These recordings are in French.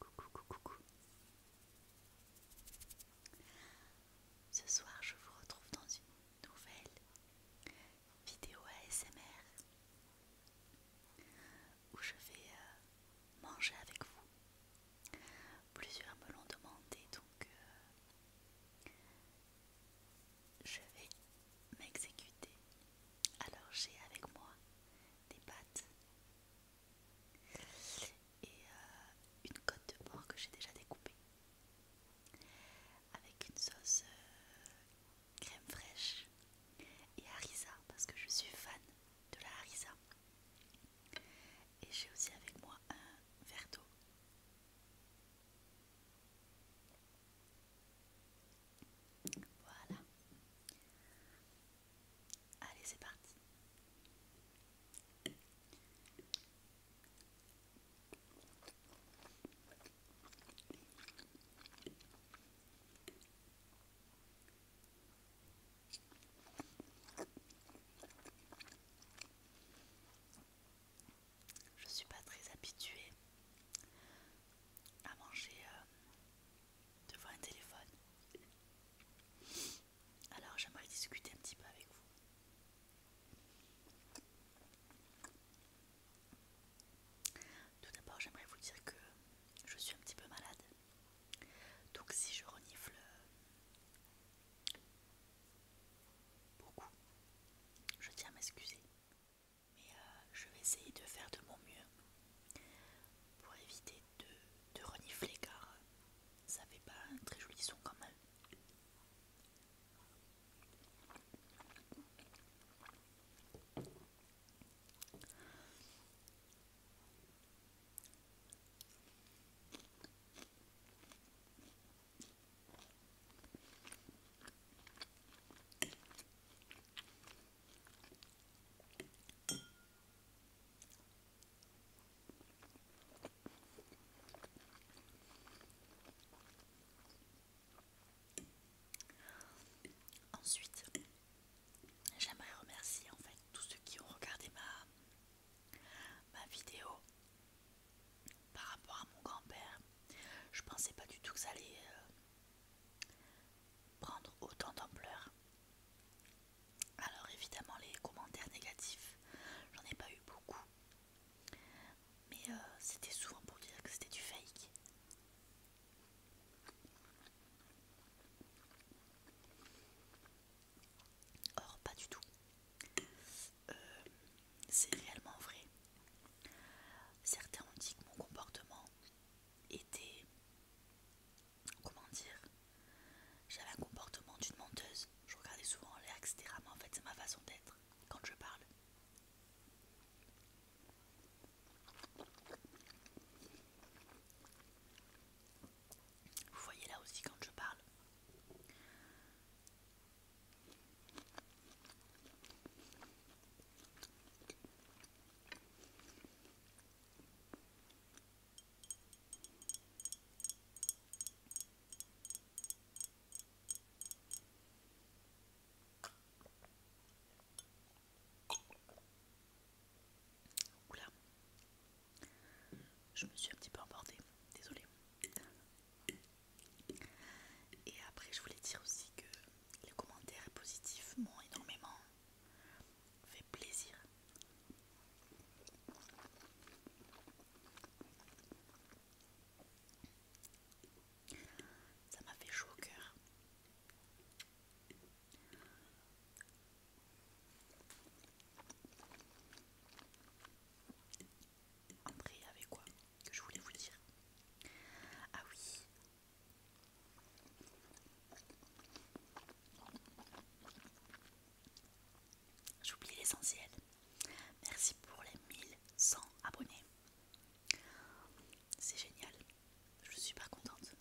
Coucou, coucou, coucou. Ce soir, je vous retrouve dans une nouvelle vidéo ASMR où je vais euh, manger avec vous. Plusieurs me l'ont demandé, donc euh, je vais m'exécuter. Alors j'ai avec moi des pâtes et euh, une côte de porc que j'ai déjà découpée avec une sauce euh, crème fraîche et harissa parce que je suis fan de la harissa et j'ai aussi avec moi un verre d'eau voilà. Allez, c'est parti. Je suis pas très habituée à manger euh, devant un téléphone. Alors j'aimerais discuter un petit peu avec vous. Tout d'abord, j'aimerais vous dire que je suis un petit peu malade. Donc si je renifle beaucoup, je tiens à m'excuser mais euh, je vais essayer de faire de mon mieux pour éviter de, de renifler car euh, ça fait pas un très joli son quand même. Ensuite, j'aimerais remercier en fait tous ceux qui ont regardé ma, ma vidéo par rapport à mon grand-père. Je pensais pas du tout que ça allait euh, prendre autant d'ampleur. Alors évidemment les commentaires négatifs, j'en ai pas eu beaucoup. Mais euh, c'était souvent pour dire que c'était du fake. Or pas du tout. Euh, c'est réellement vrai. Certains ont dit que mon comportement était. Comment dire J'avais un comportement d'une menteuse. Je regardais souvent en l'air, etc. Mais en fait, c'est ma façon d'être quand je parle. Vous voyez là aussi quand je parle. Oula, je me suis un petit peu emportée, désolée. Et après, je voulais dire aussi que les commentaires positifs m'ont énormément fait plaisir. Ça m'a fait chaud au cœur. Après, avec quoi que je voulais vous dire Ah oui, J'oublie l'essentiel. Merci pour les 1100 abonnés. C'est génial. Je suis super contente.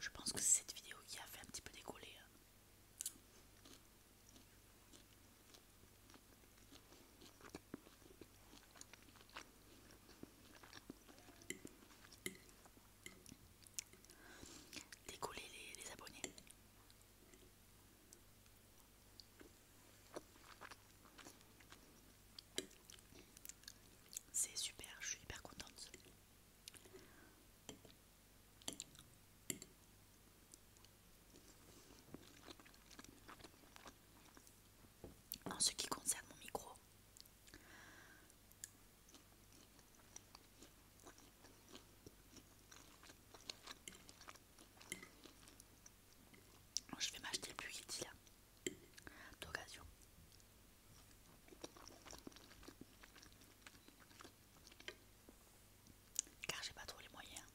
Je pense que c'est cette vidéo qui a fait un petit peu décoller hein. Décoller les, les abonnés. C'est super, je suis hyper contente. En ce qui concerne mon micro, je vais m'acheter plus Yeti là, d'occasion. Car j'ai pas trop les moyens.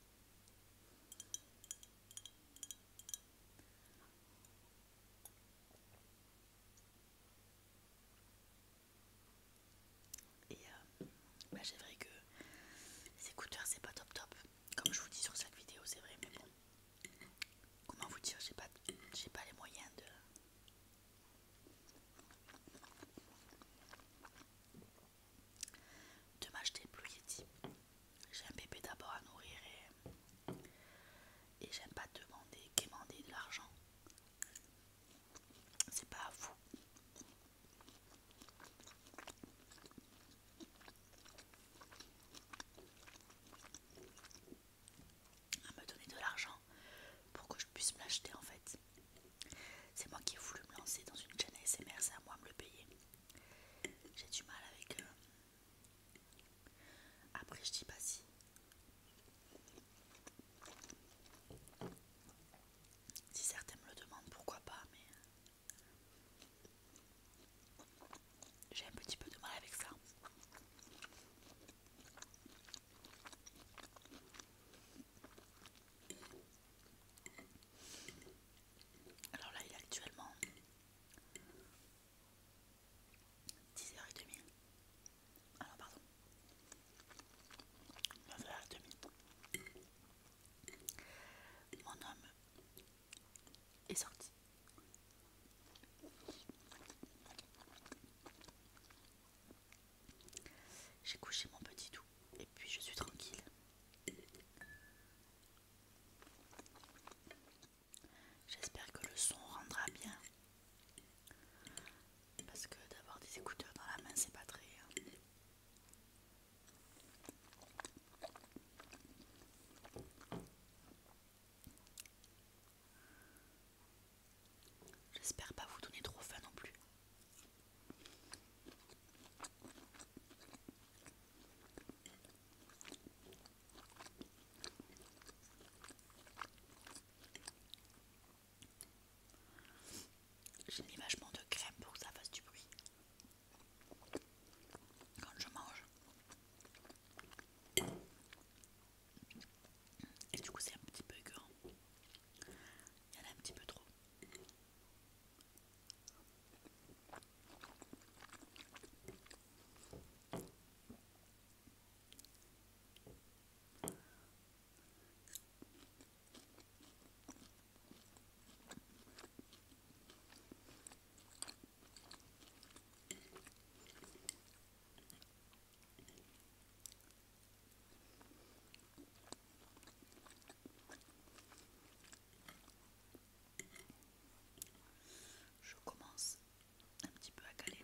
Et c'est euh, bah, vrai que les écouteurs c'est pas top top. Comme je vous dis sur cette vidéo, c'est vrai, mais bon. Comment vous dire, j'ai pas, pas les moyens de de m'acheter Blue Yeti. J'ai un bébé d'abord à nourrir et, j'aime pas demander, demander de l'argent. C'est pas à vous. À me donner de l'argent pour que je puisse m'acheter en fait. C'est moi qui ai voulu me lancer dans une chaîne ASMR, c'est à moi de me le payer. J'ai du mal avec. Euh, après, je dis pas si. Si certains me le demandent, pourquoi pas, mais. Euh, j'ai un petit peu de mal avec ça. Alors là, il est actuellement 10h30. Ah non, pardon. 9h30. Mon homme est sorti. J'ai couché mon petit doux et puis je suis tranquille. J'espère que le son rendra bien. Parce que d'avoir des écouteurs dans la main, c'est pas très. Hein. J'espère pas vous donner trop faim non plus. J'ai mis vachement de crème pour que ça fasse du bruit quand je mange. Et du coup, c'est un petit peu écœurant. Il y en a un petit peu trop. Je commence un petit peu à caler.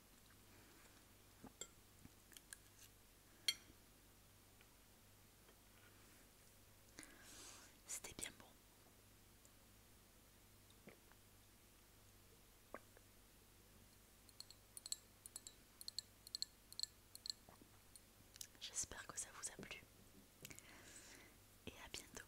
C'était bien bon. J'espère que ça vous a plu et à bientôt.